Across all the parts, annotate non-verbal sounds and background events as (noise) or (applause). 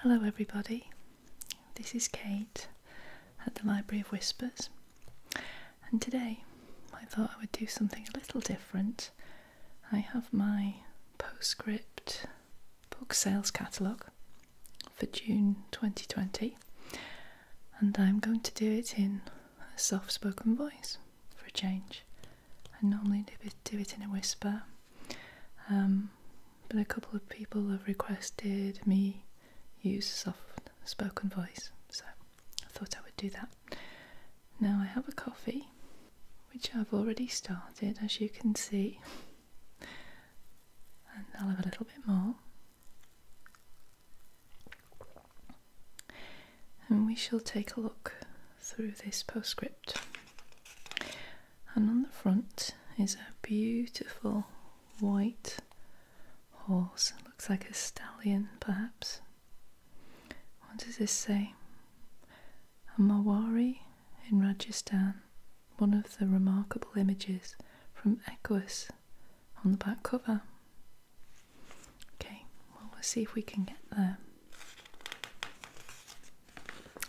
Hello, everybody. This is Kate at the Library of Whispers, and today I thought I would do something a little different. I have my postscript book sales catalogue for June 2020, and I'm going to do it in a soft spoken voice for a change. I normally do it, do it in a whisper, um, but a couple of people have requested me use soft spoken voice, so I thought I would do that. Now I have a coffee, which I've already started, as you can see, and I'll have a little bit more. And we shall take a look through this postscript and on the front is a beautiful white horse. It looks like a stallion, perhaps. What does this say? A Mawari in Rajasthan, one of the remarkable images from Equus on the back cover. Okay, well, we'll see if we can get there.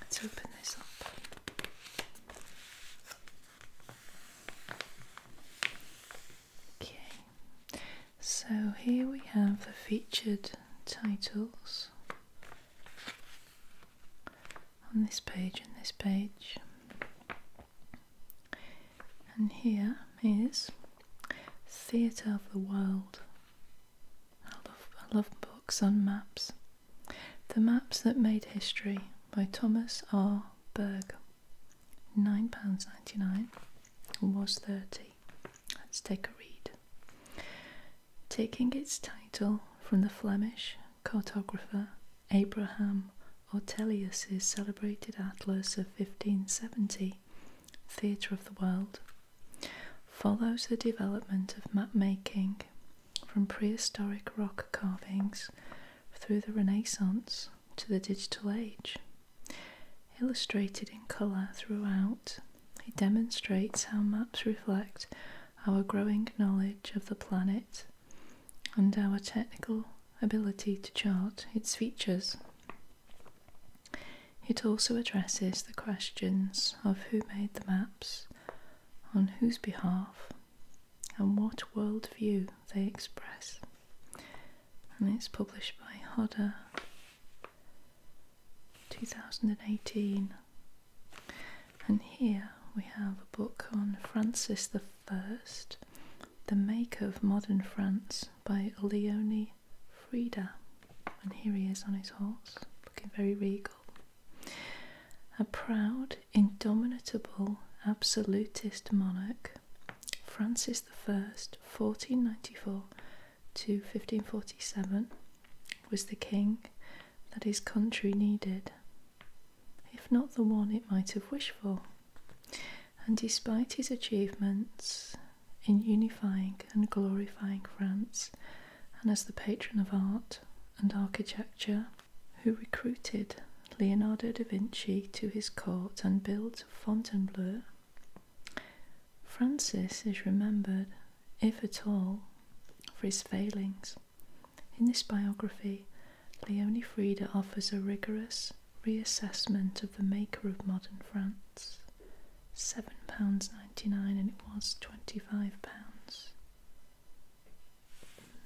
Let's open this up. Okay, so here we have the featured titles on this page and this page, and here is Theatre of the World. I love, I love books on maps. The Maps That Made History by Thomas R. Berg. £9.99 was 30 Let's take a read. Taking its title from the Flemish cartographer Abraham Ortelius's celebrated atlas of 1570, Theatre of the World, follows the development of map making from prehistoric rock carvings through the Renaissance to the digital age. Illustrated in colour throughout, it demonstrates how maps reflect our growing knowledge of the planet and our technical ability to chart its features. It also addresses the questions of who made the maps, on whose behalf and what world view they express. And it's published by Hodder, 2018. And here we have a book on Francis I, The Maker of Modern France by Leonie Frida. And here he is on his horse, looking very regal. A proud, indomitable, absolutist monarch, Francis I, 1494 to 1547, was the king that his country needed, if not the one it might have wished for. And despite his achievements in unifying and glorifying France, and as the patron of art and architecture, who recruited Leonardo da Vinci to his court and built Fontainebleau. Francis is remembered, if at all, for his failings. In this biography, Leonie Frieda offers a rigorous reassessment of the maker of modern France. £7.99 and it was £25.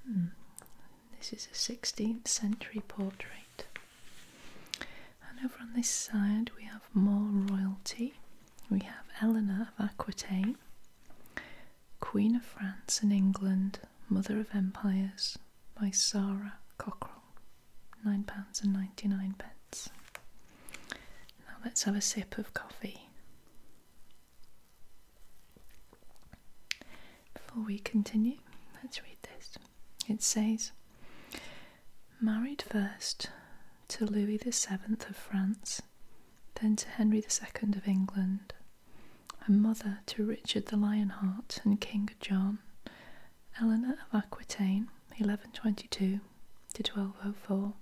Hmm. This is a 16th century portrait. And over on this side, we have more royalty. We have Eleanor of Aquitaine, Queen of France and England, Mother of Empires, by Sarah Cockrell, £9.99. Now let's have a sip of coffee. Before we continue, let's read this. It says, Married first to Louis VII of France, then to Henry II of England, A mother to Richard the Lionheart and King John, Eleanor of Aquitaine, 1122 to 1204,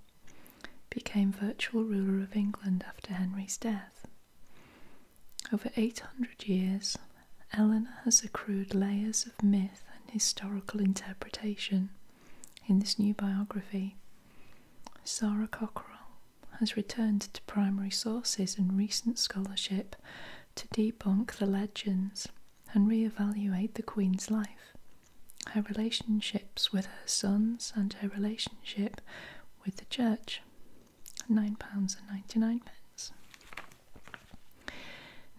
became virtual ruler of England after Henry's death. Over 800 years, Eleanor has accrued layers of myth and historical interpretation in this new biography. Sarah Cockrell has returned to primary sources and recent scholarship to debunk the legends and re-evaluate the Queen's life, her relationships with her sons, and her relationship with the church. £9.99.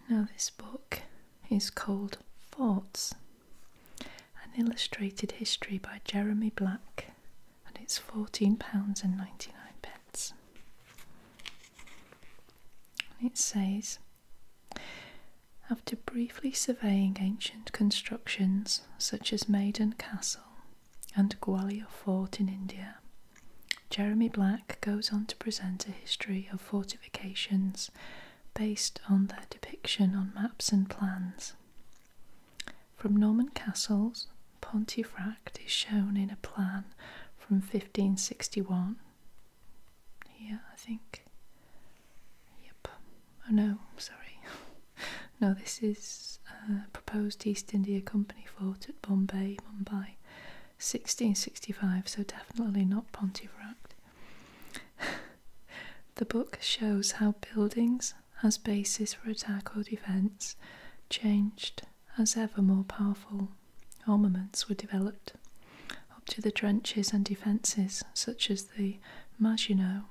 Now, this book is called Forts An Illustrated History by Jeremy Black, and it's £14.99. It says, after briefly surveying ancient constructions such as Maiden Castle and Gwalior Fort in India. Jeremy Black goes on to present a history of fortifications based on their depiction on maps and plans. From Norman castles, Pontefract is shown in a plan from 1561. Here, I think. Yep. Oh no, sorry. (laughs) no, this is uh, proposed East India Company fort at Bombay, Mumbai, 1665, so definitely not Pontevract. (laughs) the book shows how buildings, as basis for attack or defence, changed as ever more powerful armaments were developed, up to the trenches and defences such as the Maginot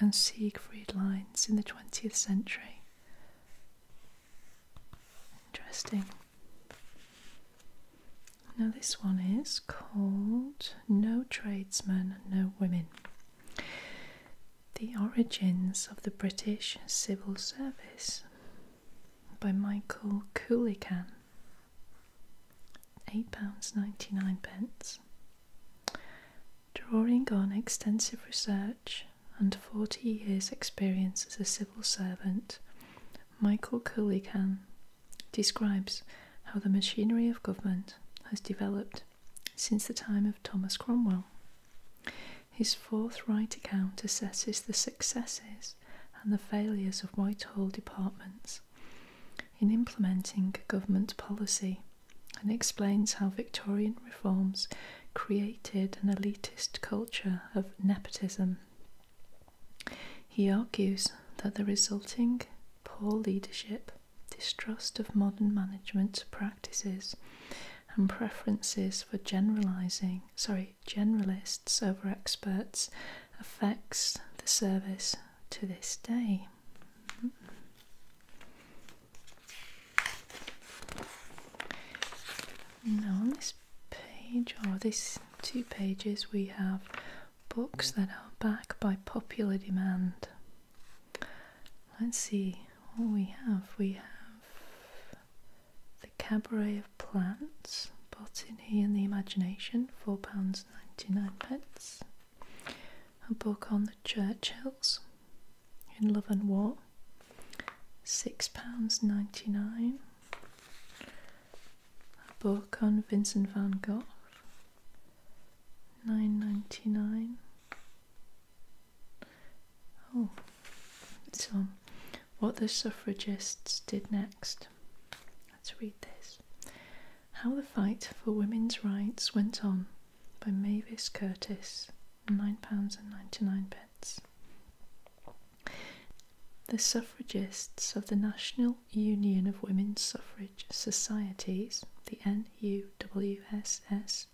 and Siegfried lines in the 20th century. Interesting. Now, this one is called No Tradesmen, No Women The Origins of the British Civil Service by Michael Coolican. £8.99. Drawing on extensive research and 40 years' experience as a civil servant, Michael Coolican describes how the machinery of government has developed since the time of Thomas Cromwell. His forthright account assesses the successes and the failures of Whitehall departments in implementing government policy and explains how Victorian reforms created an elitist culture of nepotism. He argues that the resulting poor leadership, distrust of modern management practices, and preferences for generalizing, sorry, generalists over experts affects the service to this day. Now, on this page, or these two pages, we have books that are back by popular demand. Let's see what we have. We have The Cabaret of Plants, Botany and the Imagination, £4.99 pence a book on the Churchills in Love and War, £6.99, a book on Vincent van Gogh, nine ninety nine. Oh, it's on um, what the suffragists did next. Let's read this. How the fight for women's rights went on by Mavis Curtis, £9.99. The suffragists of the National Union of Women's Suffrage Societies, the NUWSS,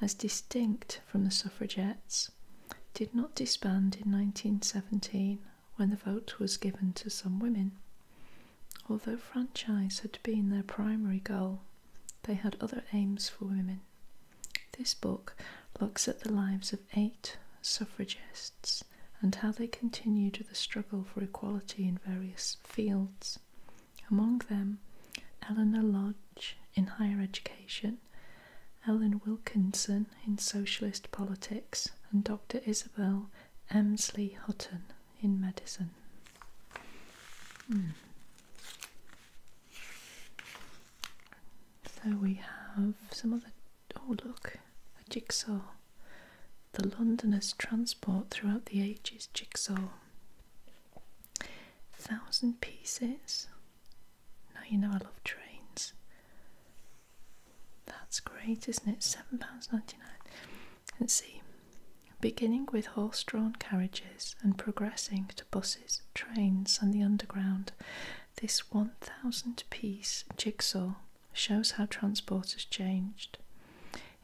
as distinct from the suffragettes, did not disband in 1917 when the vote was given to some women. Although franchise had been their primary goal, they had other aims for women. This book looks at the lives of eight suffragists and how they continued the struggle for equality in various fields. Among them, Eleanor Lodge in higher education, Ellen Wilkinson in socialist politics, and Dr. Isabel Emsley Hutton in Madison. Hmm. So we have some other. Oh, look, a jigsaw. The Londoners' transport throughout the ages jigsaw. Thousand pieces. Now you know I love trains. That's great, isn't it? £7.99. Let's see. Beginning with horse drawn carriages and progressing to buses, trains, and the underground, this 1000 piece jigsaw shows how transport has changed.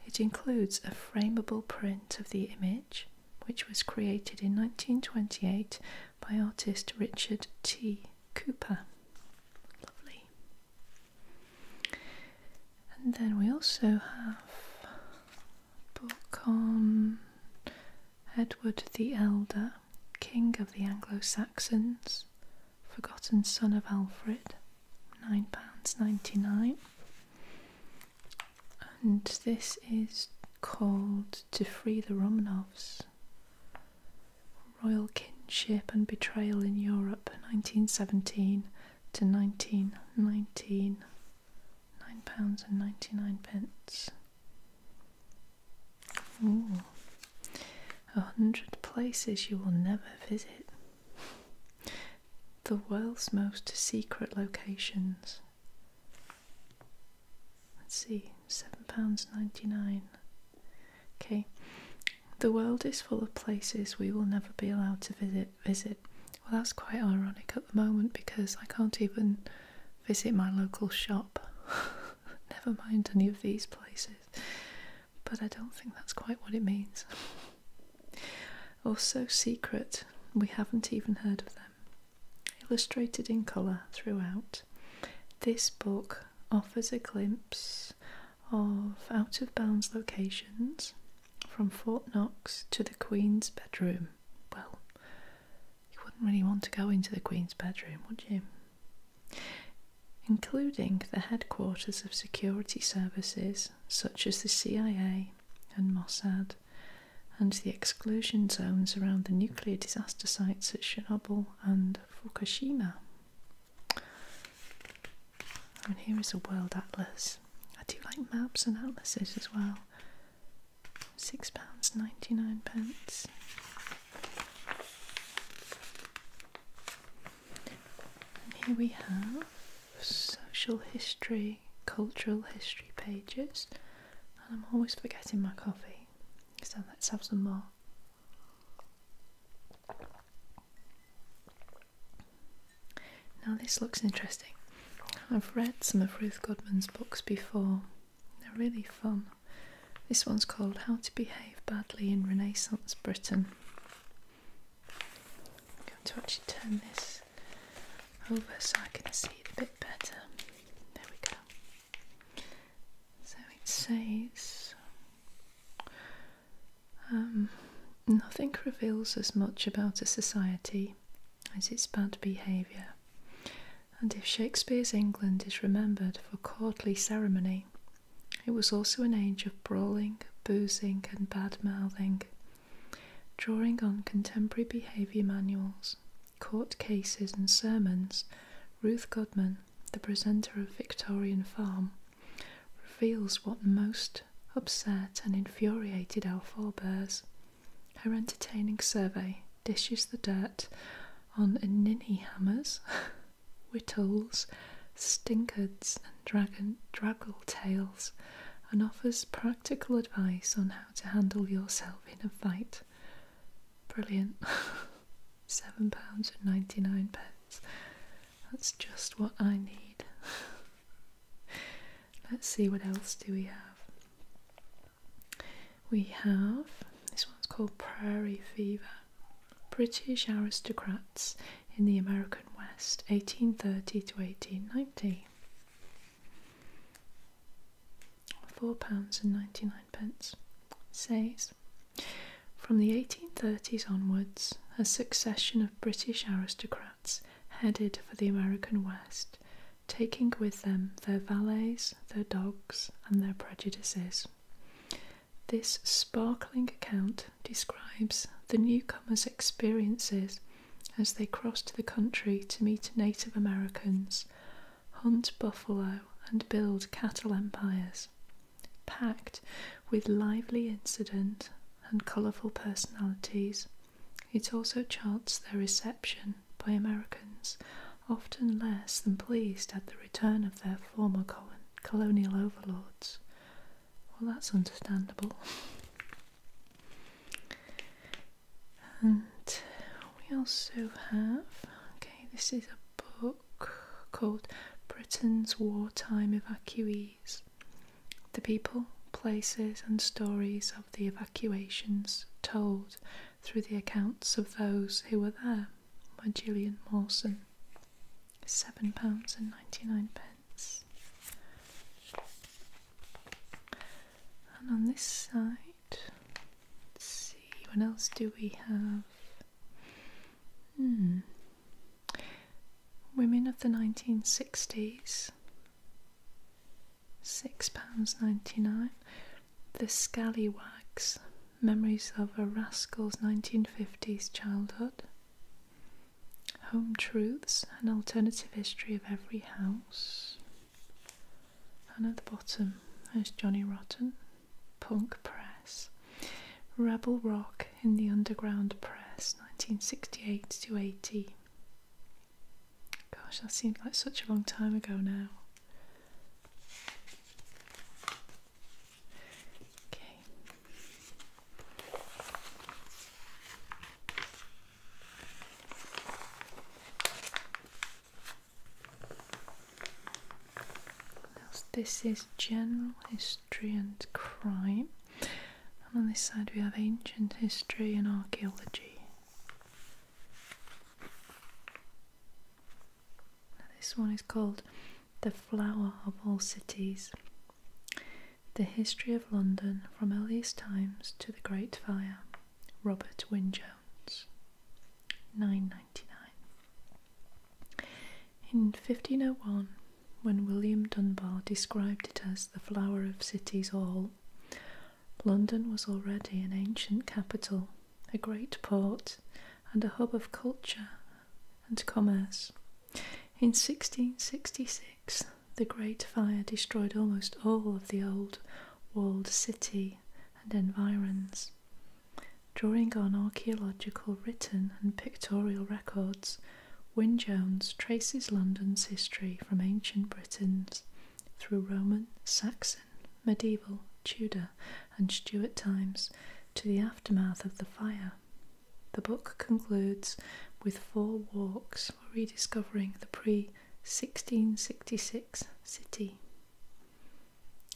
It includes a frameable print of the image, which was created in 1928 by artist Richard T. Cooper. Lovely. And then we also have book on Edward the Elder, King of the Anglo Saxons, Forgotten Son of Alfred, £9.99. And this is called To Free the Romanovs Royal Kinship and Betrayal in Europe, 1917 to 19.19 pounds and 99 pence Ooh. a hundred places you will never visit the world's most secret locations let's see seven pounds 99 okay the world is full of places we will never be allowed to visit visit. Well, that's quite ironic at the moment because I can't even visit my local shop. (laughs) Never mind any of these places. But I don't think that's quite what it means. (laughs) also, secret. We haven't even heard of them. Illustrated in colour throughout. This book offers a glimpse of out of bounds locations, from Fort Knox to the Queen's bedroom. Well, you wouldn't really want to go into the Queen's bedroom, would you? Including the headquarters of security services such as the CIA and Mossad, and the exclusion zones around the nuclear disaster sites at Chernobyl and Fukushima. And here is a world atlas I do like maps and atlases as well. Six pounds ninety nine pence. And here we have social history, cultural history pages, and I'm always forgetting my coffee, so let's have some more. Now, this looks interesting. I've read some of Ruth Goodman's books before, they're really fun. This one's called How to Behave Badly in Renaissance Britain. I'm going to actually turn this over so I can see it a bit better. There we go. So it says um, nothing reveals as much about a society as its bad behaviour, and if Shakespeare's England is remembered for courtly ceremony, it was also an age of brawling, boozing, and bad mouthing. Drawing on contemporary behaviour manuals, court cases, and sermons, Ruth Godman, the presenter of Victorian Farm, reveals what most upset, and infuriated our forebears. Her entertaining survey dishes the dirt on ninny hammers, (laughs) whittles, stinkards, and dragon, draggle tails, and offers practical advice on how to handle yourself in a fight. Brilliant. (laughs) £7.99. That's just what I need. (laughs) Let's see what else do we have. We have this one's called Prairie Fever. British aristocrats in the American West, 1830 to 1890. Four pounds and ninety-nine pence says from the 1830s onwards, a succession of British aristocrats headed for the American West, taking with them their valets, their dogs, and their prejudices. This sparkling account describes the newcomers' experiences as they crossed the country to meet Native Americans, hunt buffalo, and build cattle empires, packed with lively incident and colourful personalities. It also charts their reception by Americans, often less than pleased at the return of their former colonial overlords. Well, that's understandable. And we also have okay, this is a book called Britain's Wartime Evacuees the people, places, and stories of the evacuations told through the accounts of those who were there by Gillian Mawson. Seven pounds and ninety nine pence. And on this side, let's see, what else do we have? Hmm. Women of the 1960s £6.99. The Scallywags Memories of a Rascal's 1950s Childhood. Home Truths An Alternative History of Every House. And at the bottom, there's Johnny Rotten, Punk Press, Rebel Rock in the Underground Press, 1968 to 80. Gosh, that seemed like such a long time ago now. Okay. This is general history and crime. And on this side we have ancient history and archaeology. this one is called The Flower of All Cities. The History of London from Earliest Times to the Great Fire. Robert Wynne Jones. 999. In 1501, when William Dunbar described it as the flower of cities all. London was already an ancient capital, a great port, and a hub of culture and commerce. In 1666, the Great Fire destroyed almost all of the old walled city and environs. Drawing on archaeological written and pictorial records, Wyn Jones traces London's history from ancient Britons through Roman, Saxon, medieval, Tudor, and Stuart times to the aftermath of the fire. The book concludes with four walks rediscovering the pre 1666 city.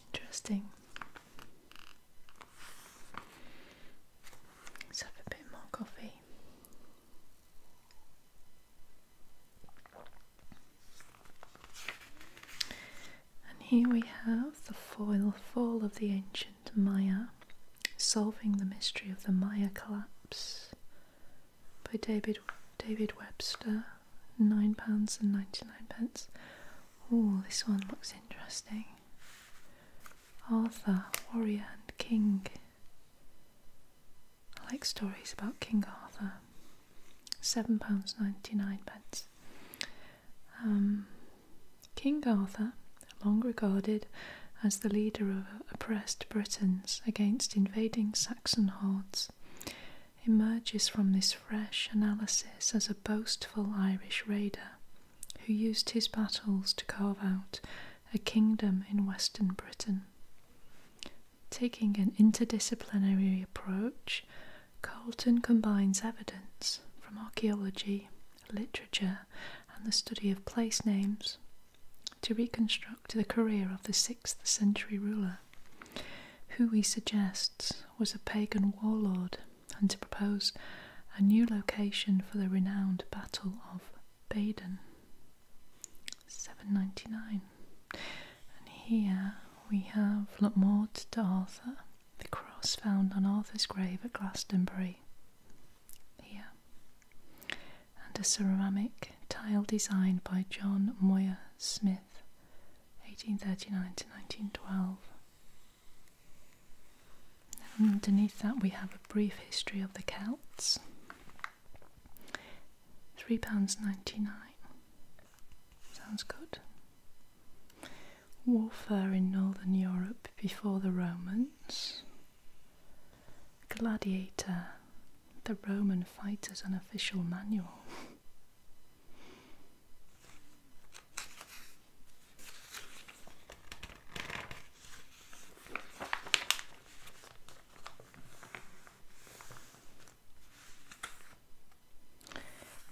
Interesting. Let's have a bit more coffee. And here we have the foil fall of the ancient Maya, solving the mystery of the Maya collapse by David David Webster, nine pounds and ninety nine pence. Oh, this one looks interesting. Arthur, warrior and king. I like stories about King Arthur. Seven pounds ninety nine pence. Um, King Arthur, long regarded as the leader of oppressed Britons against invading Saxon hordes, emerges from this fresh analysis as a boastful Irish raider who used his battles to carve out a kingdom in Western Britain. Taking an interdisciplinary approach, Colton combines evidence from archaeology, literature, and the study of place names to reconstruct the career of the 6th century ruler, who he suggests was a pagan warlord, and to propose a new location for the renowned Battle of Baden, 7.99. And here we have Lutmort to Arthur, the cross found on Arthur's grave at Glastonbury. Here, and a ceramic tile designed by John Moyer Smith, 1839 to 1912. And Underneath that, we have a brief history of the Celts. Three pounds ninety nine. Sounds good. Warfare in Northern Europe before the Romans. Gladiator, the Roman fighter's an official manual.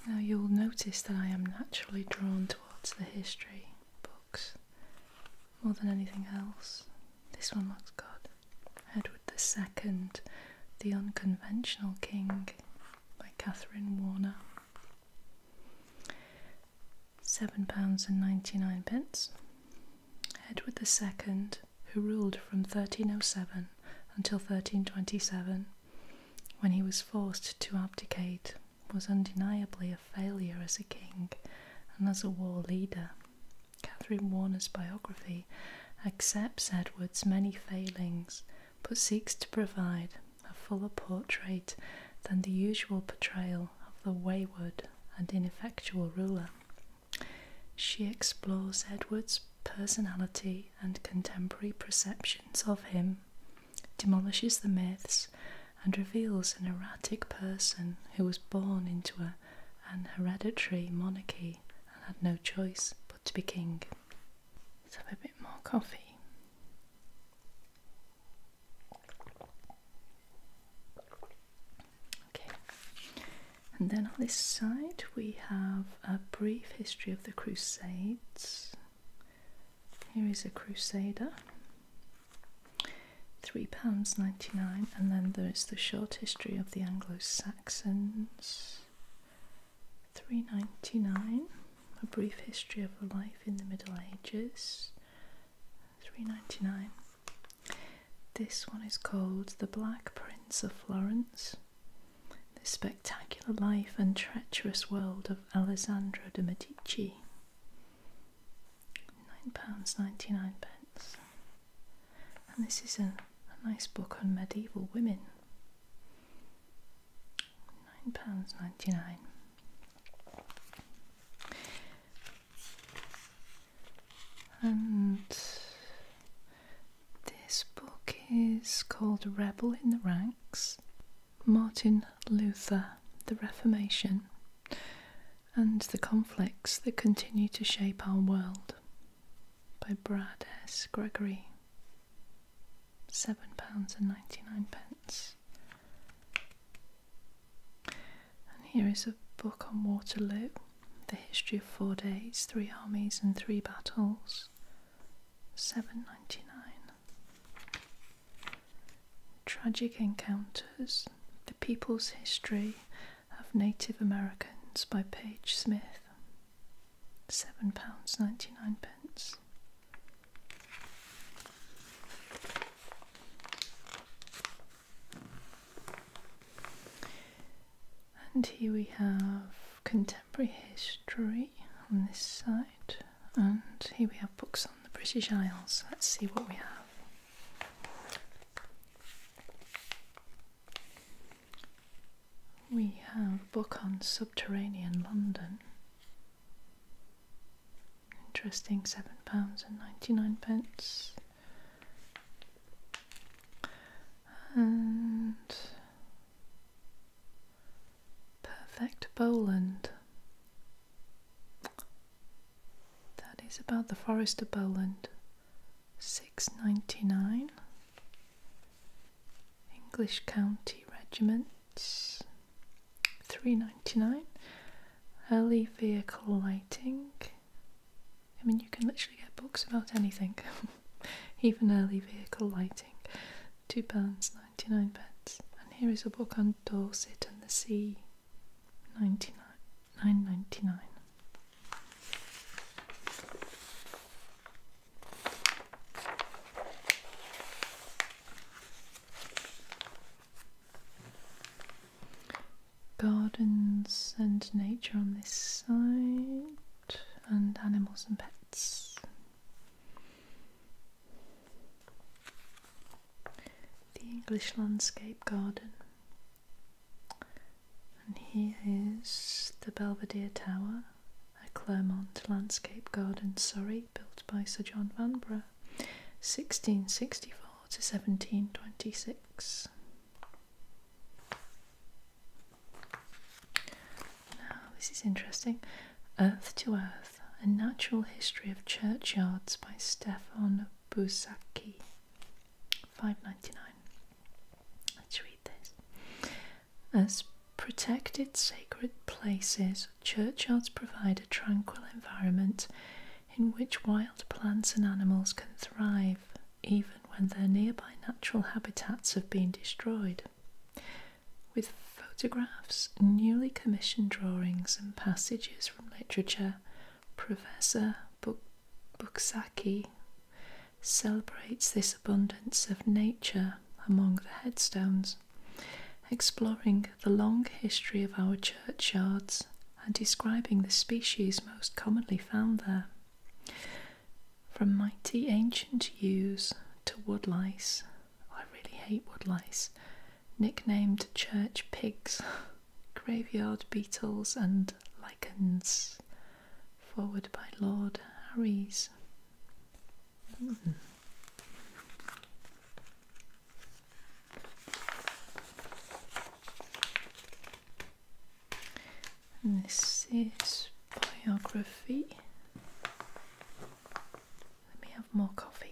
Now you'll notice that I am naturally drawn towards the history books more than anything else. This one looks good. Edward II, The Unconventional King by Catherine Warner seven pounds and ninety nine pence. Edward II, who ruled from 1307 until 1327, when he was forced to abdicate, was undeniably a failure as a king and as a war leader. Catherine Warner's biography accepts Edward's many failings but seeks to provide a fuller portrait than the usual portrayal of the wayward and ineffectual ruler. She explores Edward's personality and contemporary perceptions of him, demolishes the myths, and reveals an erratic person who was born into an hereditary monarchy and had no choice but to be king. Let's have a bit more coffee. Okay, and then on this side we have a brief history of the Crusades. Here is a Crusader, £3.99, and then there's the short history of the Anglo Saxons, ninety-nine. a brief history of life in the Middle Ages. 3.99 this one is called The Black Prince of Florence. The spectacular life and treacherous world of Alessandro de' Medici. £9.99. And this is a, a nice book on medieval women. £9.99. And this book is called Rebel in the Ranks Martin Luther, the Reformation, and the Conflicts that Continue to Shape Our World by Brad S. Gregory. £7.99. And here is a book on Waterloo The History of Four Days, Three Armies and Three Battles. Seven ninety nine. Tragic Encounters The People's History of Native Americans by Page Smith. Seven pounds ninety nine pence. And here we have contemporary history on this side, and here we have books on the British Isles. Let's see what we have. We have a book on subterranean London. Interesting, seven pounds and ninety-nine pence. And perfect Boland. That is about the Forester Boland. Six ninety-nine. English County Regiments. Three ninety-nine. Early vehicle lighting. I mean, you can literally get books about anything, (laughs) even early vehicle lighting. Two pounds ninety nine pence. And here is a book on Dorset and the Sea, ninety nine nine ninety nine. Gardens and nature on this side, and animals and pets. The English Landscape Garden. And here is the Belvedere Tower, a Clermont landscape garden, Surrey, built by Sir John Vanbrugh, 1664 to 1726. Now, this is interesting. Earth to Earth A Natural History of Churchyards by Stefan Busacki. 599. Let's read this. As protected sacred places, churchyards provide a tranquil environment in which wild plants and animals can thrive even when their nearby natural habitats have been destroyed. With photographs, newly commissioned drawings, and passages from literature, Professor Buksaki celebrates this abundance of nature among the headstones, exploring the long history of our churchyards and describing the species most commonly found there. From mighty ancient yews to woodlice, I really hate woodlice, nicknamed church pigs, (laughs) graveyard beetles, and lichens. Forward by Lord Harry's. Hmm. And this is biography. Let me have more coffee.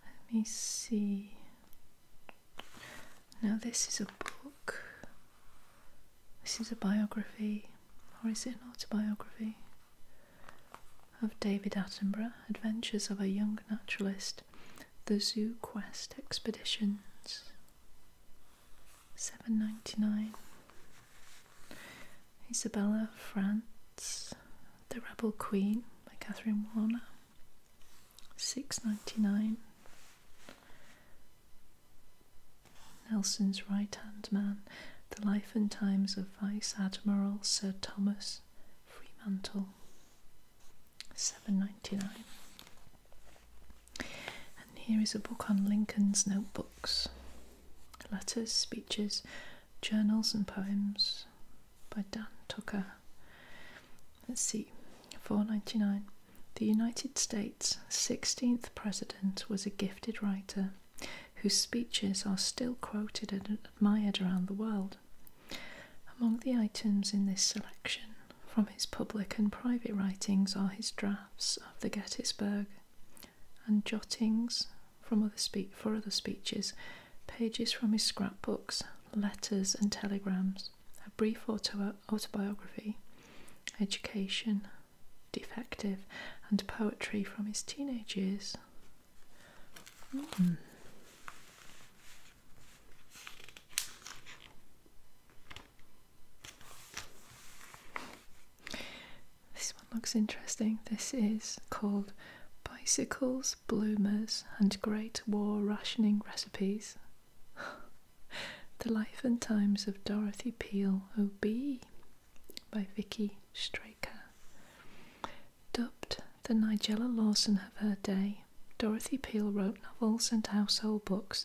Let me see. Now, this is a book. This is a biography, or is it an autobiography, of David Attenborough Adventures of a Young Naturalist, The Zoo Quest Expeditions. 7.99 Isabella, France, The Rebel Queen by Catherine Warner six ninety nine. Nelson's Right Hand Man, The Life and Times of Vice Admiral Sir Thomas Fremantle, seven ninety nine. And here is a book on Lincoln's notebooks, letters, speeches, journals, and poems by Dan Tucker. Let's see. 499. The United States' 16th president was a gifted writer whose speeches are still quoted and admired around the world. Among the items in this selection from his public and private writings are his drafts of the Gettysburg and jottings from other for other speeches, pages from his scrapbooks, letters and telegrams, a brief autobiography autobiography, Education, Defective, and Poetry from his teenage years. Hmm. This one looks interesting. This is called Bicycles, Bloomers, and Great War Rationing Recipes. The Life and Times of Dorothy Peel OB by Vicky Straker. Dubbed the Nigella Lawson of her day, Dorothy Peel wrote novels and household books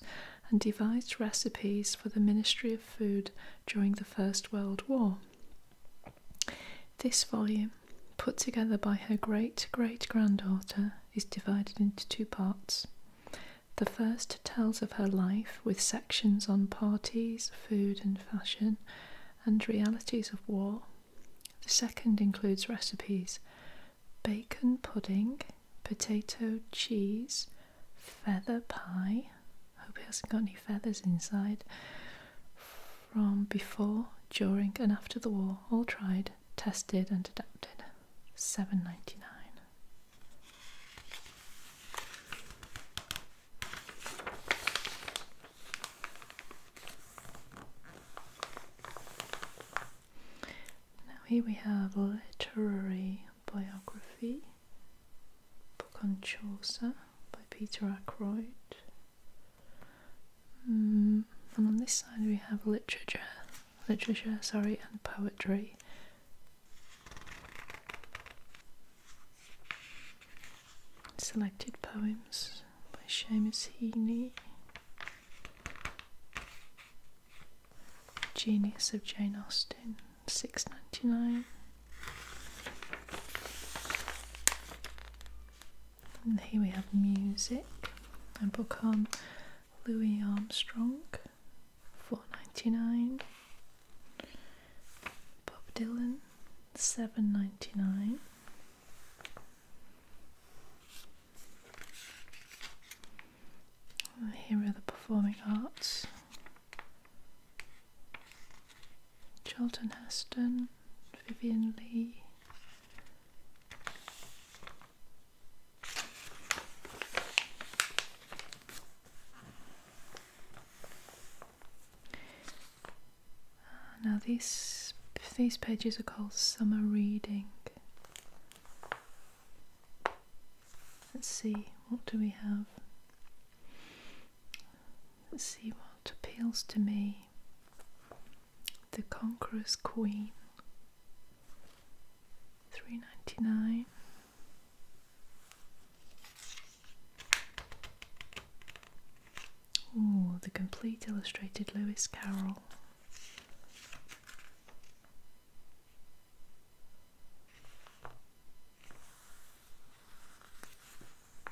and devised recipes for the Ministry of Food during the First World War. This volume, put together by her great great granddaughter is divided into two parts. The first tells of her life with sections on parties, food and fashion, and realities of war. The second includes recipes bacon pudding, potato cheese, feather pie. Hope he hasn't got any feathers inside. From before, during, and after the war, all tried, tested, and adapted seven ninety nine. Now here we have literary biography book on Chaucer by Peter Ackroyd. Mm, and on this side we have literature literature, sorry, and poetry. Selected poems by Seamus Heaney. Genius of Jane Austen, six ninety nine. And here we have music, and book on Louis Armstrong, four ninety nine. Bob Dylan, seven ninety nine. Here are the performing arts. Charlton Heston, Vivian Lee, now these these pages are called summer reading. Let's see what do we have. Let's see what appeals to me. The Conqueror's Queen three ninety nine. Oh, the complete illustrated Lewis Carroll.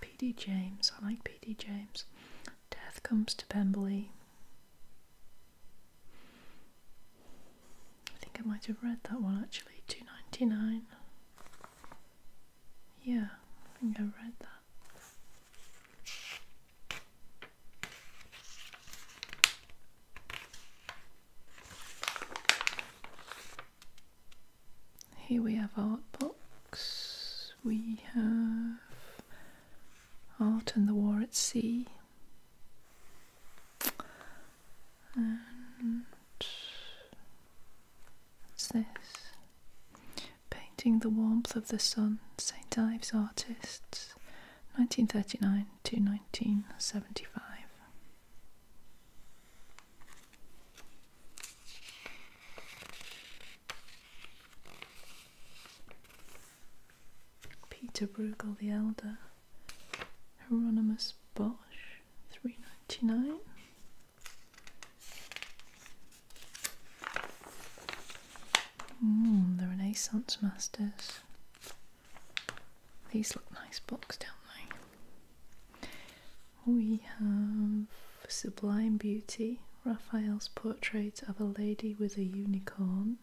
P.D. James, I like P.D. James. Death Comes to Pemberley, I think I might have read that one actually, two ninety nine. Yeah, I think I read that. Here we have art books. We have Art and the War at Sea what's this? Painting the Warmth of the Sun, St. Ives Artists, 1939 to 1975. Peter Bruegel the Elder, Hieronymus Bosch, three ninety nine. Hmm, the Renaissance Masters. These look nice books, don't they? We have Sublime Beauty, Raphael's Portrait of a Lady with a Unicorn.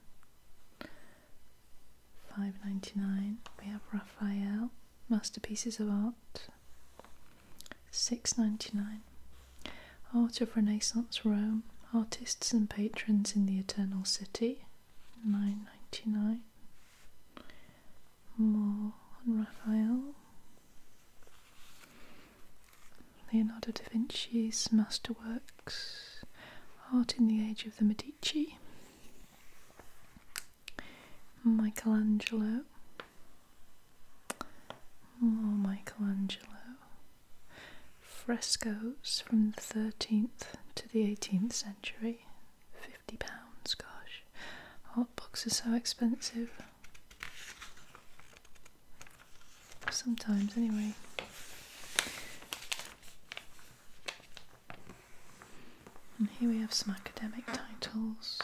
5.99 we have Raphael masterpieces of art 6.99 art of renaissance Rome artists and patrons in the eternal city 9.99 more on Raphael Leonardo da Vinci's masterwork Art in the Age of the Medici, Michelangelo. Oh, Michelangelo. Frescoes from the 13th to the 18th century. £50, gosh. Art books are so expensive. Sometimes, anyway. And here we have some academic titles.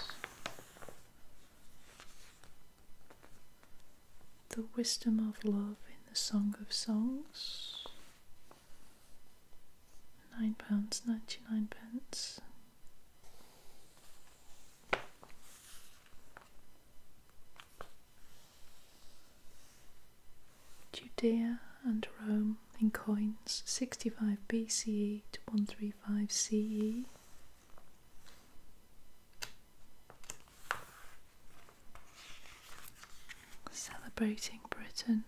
The Wisdom of Love in the Song of Songs. £9.99. pence. Judea and Rome in coins 65 BCE to 135 CE. Celebrating Britain,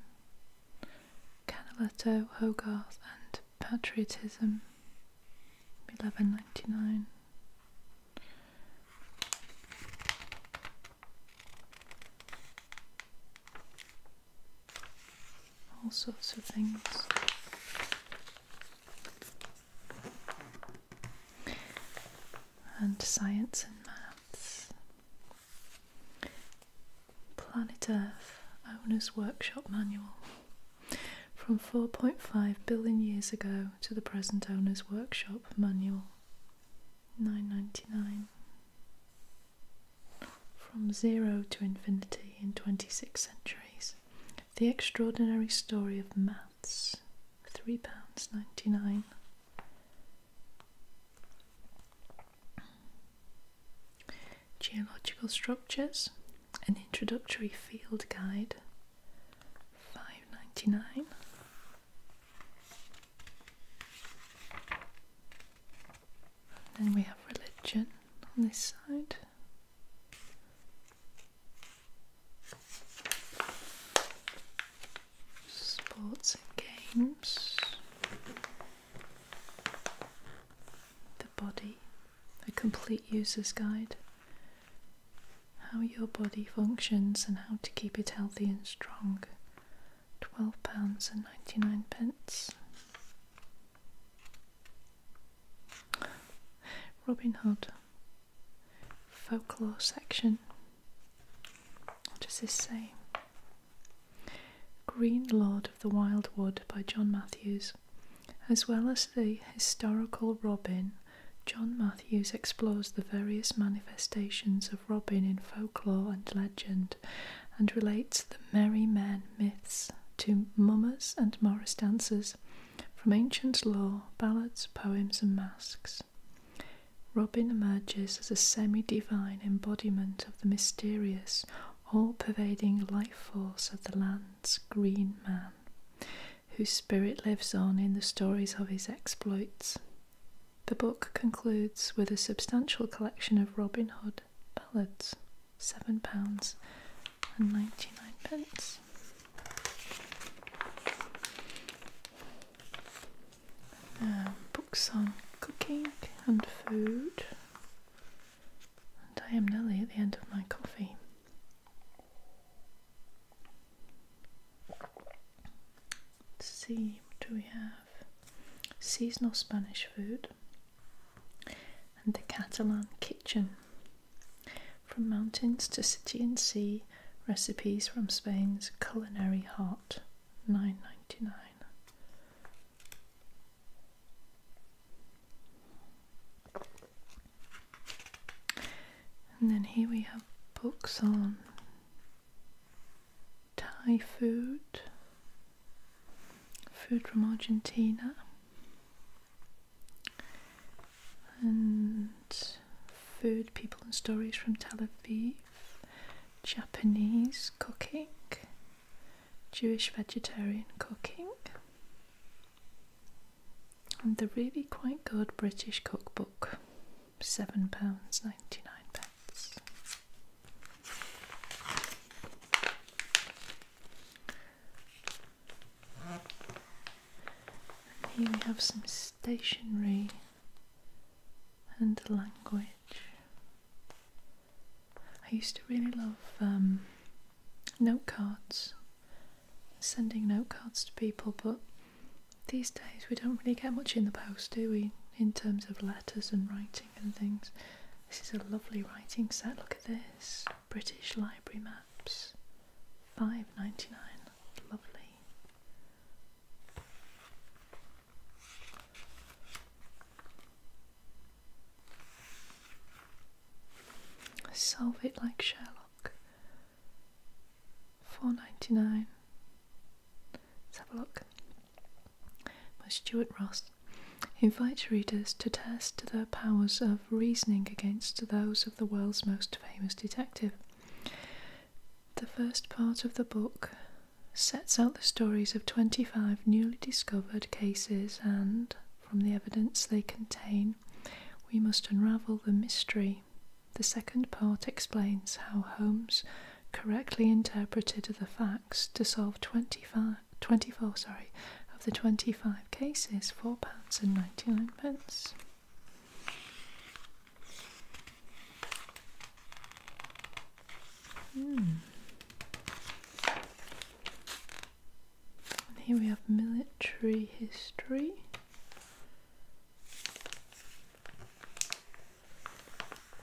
Canaletto, Hogarth, and Patriotism 1199 all sorts of things. And science and maths. Planet Earth Owner's Workshop Manual. From 4.5 billion years ago to the present Owner's Workshop Manual. 9.99 from zero to infinity in 26 centuries the extraordinary story of maths £3.99 geological structures an introductory field guide Five ninety nine. Then we have religion on this side. Sports and games. The body, a complete user's guide how your body functions and how to keep it healthy and strong. £12.99. and Robin Hood folklore section. What does this say? Green Lord of the Wild Wood by John Matthews. As well as the historical Robin, John Matthews explores the various manifestations of Robin in folklore and legend and relates the merry men myths to mummers and morris dances, from ancient lore, ballads, poems, and masques. Robin emerges as a semi divine embodiment of the mysterious, all pervading life force of the land's green man, whose spirit lives on in the stories of his exploits. The book concludes with a substantial collection of Robin Hood ballads, £7.99. and pence. Um, books on cooking and food. And I am nearly at the end of my coffee. Let's see, what do we have? Seasonal Spanish food and the Catalan kitchen. From mountains to city and sea, recipes from Spain's culinary heart. Nine ninety nine. And then here we have books on Thai food, food from Argentina, and food, people, and stories from Tel Aviv, Japanese cooking, Jewish vegetarian cooking, and the really quite good British cookbook seven pounds ninety nine pence. here we have some stationery and language. I used to really love um, note cards, sending note cards to people, but these days we don't really get much in the post, do we? In terms of letters and writing and things. This is a lovely writing set. Look at this British Library Maps, five ninety nine. Lovely. Solve it like Sherlock. Four ninety nine. Let's have a look. By Stuart Ross invites readers to test their powers of reasoning against those of the world's most famous detective. The first part of the book sets out the stories of 25 newly discovered cases, and from the evidence they contain, we must unravel the mystery the second part explains how Holmes correctly interpreted the facts to solve 25, 24 sorry, of the 25 cases, £4.99. and pence. Hmm. here we have military history.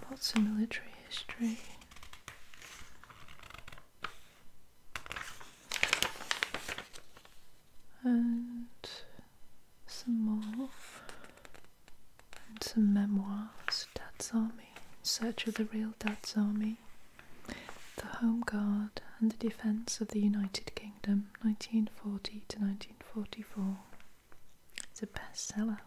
Lots of military history. And some more. And some memoirs. Dad's Army. search of the real Dad's Army. The Home Guard and the Defence of the United Kingdom, 1940 to 1944. It's a bestseller.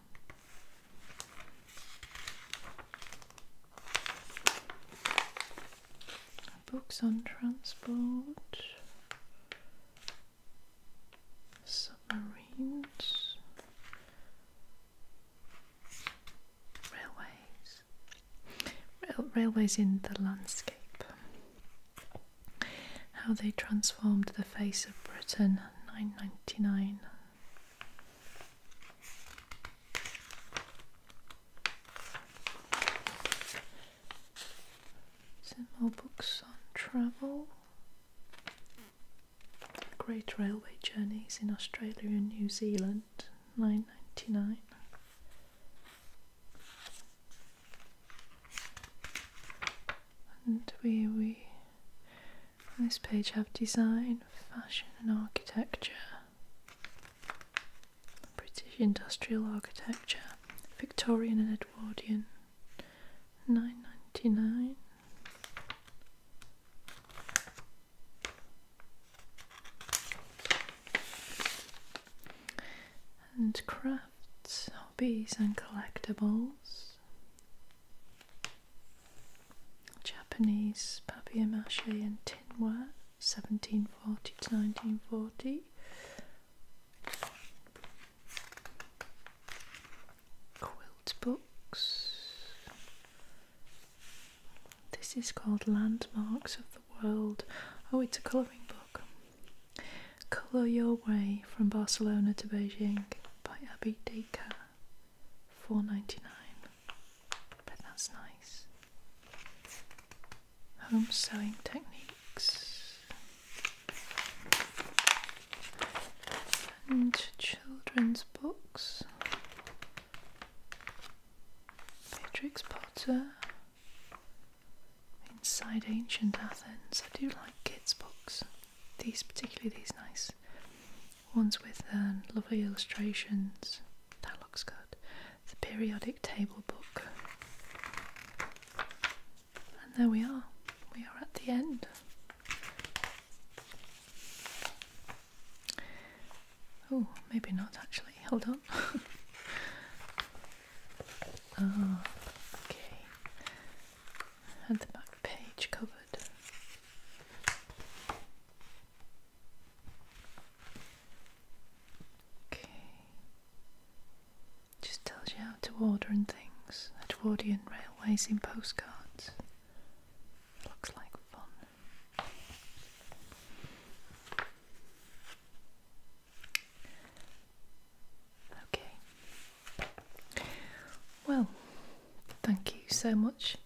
Books on transport, submarines, railways, railways in the landscape. How They Transformed the Face of Britain, 999. Some more books on travel. Great Railway Journeys in Australia and New Zealand, 999 and where we on this page have design, fashion and architecture. British industrial architecture, Victorian and Edwardian, nine ninety nine. And crap hobbies and collectibles, Japanese papier-mâché and tinware, 1740 to 1940. Quilt books. This is called Landmarks of the World. Oh, it's a colouring book. Colour Your Way from Barcelona to Beijing by Abby Dacre, four ninety nine. But that's nice. Home sewing techniques and children's books. Beatrix Potter. Inside Ancient Athens. I do like kids' books these particularly these nice ones with um, lovely illustrations. That looks good. The periodic table book. And there we are. We are at the end. Oh, maybe not actually. Hold on. (laughs) Ah, okay had the back page covered. Okay. Just tells you how to order and things. Edwardian railways in postcards. Looks like fun. Okay. Well, thank you so much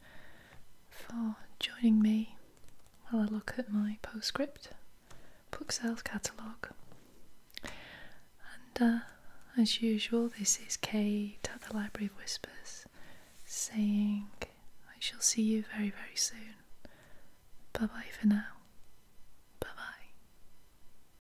for joining me while I look at my postscript book sales catalogue. And uh, as usual, this is Kate at the Library of Whispers saying, I shall see you very, very soon. Bye bye for now. Bye bye.